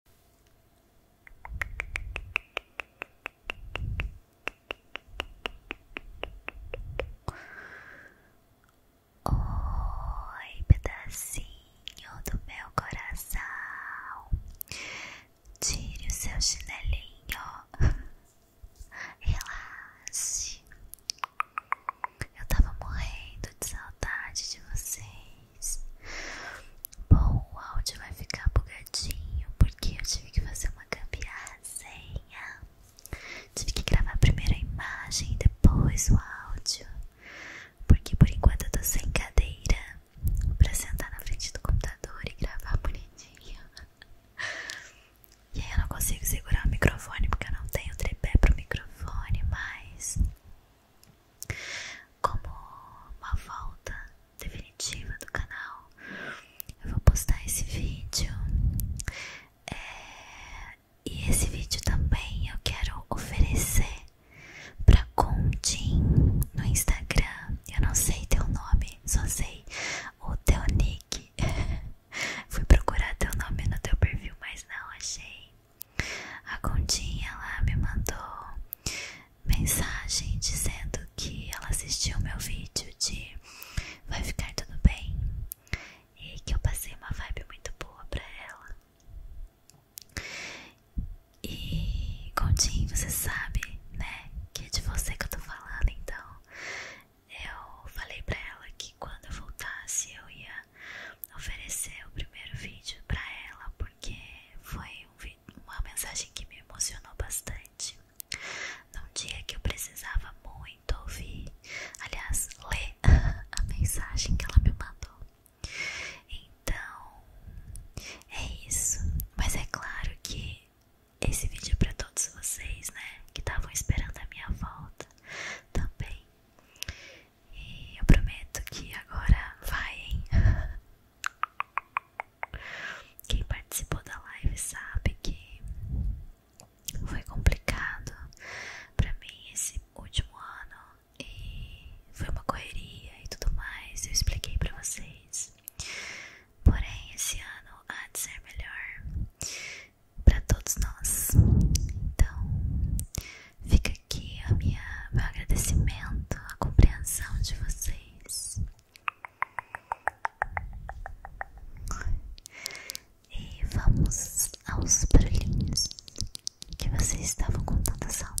Oi, pedacinho do meu coração. Tire o seu chinelinho, relaxe. Eu tava morrendo de saudade de você. Bom, o áudio vai ficar bugadinho porque eu tive que fazer uma gambiarrazinha. Tive que gravar primeiro a imagem e depois o áudio. Porque por enquanto eu tô sem cadeira para sentar na frente do computador e gravar bonitinho. E aí eu não consigo segurar o microfone porque eu não tenho tripé pro microfone, mas como uma volta definitiva do canal, eu vou postar esse vídeo. É, e esse vídeo também eu quero oferecer para Contin no Instagram. Eu não sei teu nome, só sei o teu nick. Fui procurar teu nome no teu perfil, mas não achei. A Condinha lá me mandou mensagem dizendo que ela assistiu meu vídeo de Vai Ficar Tudo Bem e que eu passei uma vibe muito boa pra ela. E Condinho, você sabe, né, que é de você que eu tô falando, então eu falei pra ela que quando eu voltasse eu ia oferecer o primeiro vídeo para ela porque foi uma mensagem que me emocionou bastante. Num dia que eu precisava muito ouvir, aliás, ler a mensagem que ela me mandou. Então, é isso. Mas é claro que esse vídeo é para todos vocês, né? Que estavam esperando a minha volta também. E eu prometo que agora vai, hein? Quem participou da live sabe que foi complicado pra mim esse último ano e foi uma correria e tudo mais. Eu expliquei pra vocês. Porém, esse ano há de ser melhor para todos nós. Então, Fica aqui o meu agradecimento, a compreensão de vocês. E vamos aos barulhinhos que vocês estavam com tanta saudade.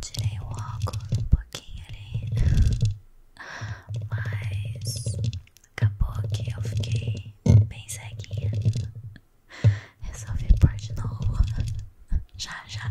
Tirei o óculos um pouquinho ali, mas acabou que eu fiquei bem ceguinha. Resolvi pôr de novo. Já, já.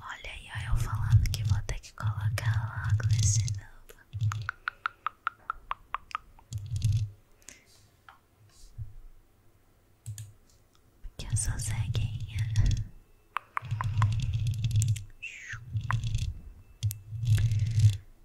Olha aí, eu falando que vou ter que colocar óculos de novo. Que eu sou ceguinha.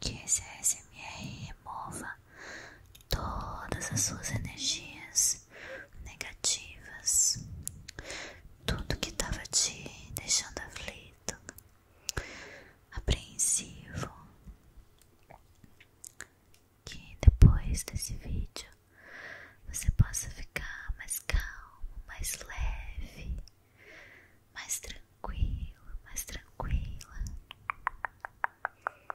que esse ASMR remova todas as suas energias negativas, tudo que estava te deixando aflito, apreensivo. Que depois desse vídeo você possa ficar mais calmo, mais leve, mais tranquilo, mais tranquila.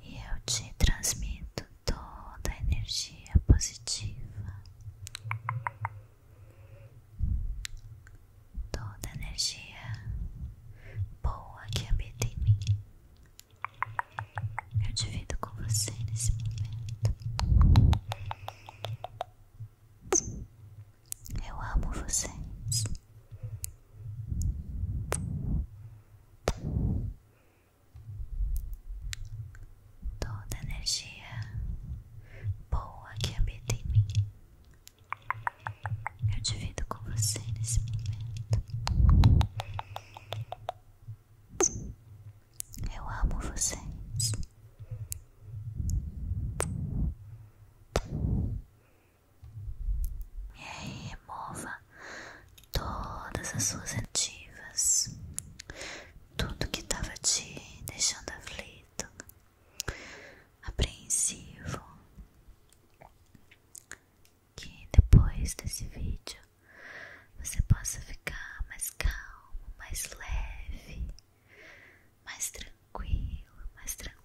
e eu te transmito toda a energia positiva, toda a energia boa que habita em mim. Eu divido com você nesse momento. Eu amo você toda energia boa que habita em mim. Eu divido com você nesse momento. Eu amo vocês. E aí, remova todas as suas ativas, tudo que estava te deixando aflito, apreensivo. Que depois desse vídeo você possa ficar mais calmo, mais leve, mais tranquilo, mais tranquila.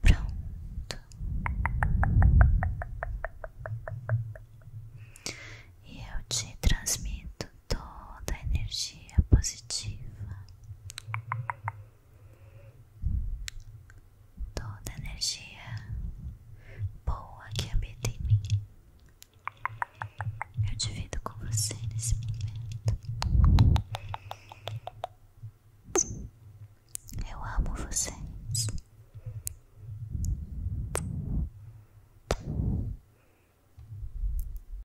Pronto. E eu te transmito toda energia positiva, toda energia boa que habita em mim. Eu divido com você nesse momento. Eu amo você.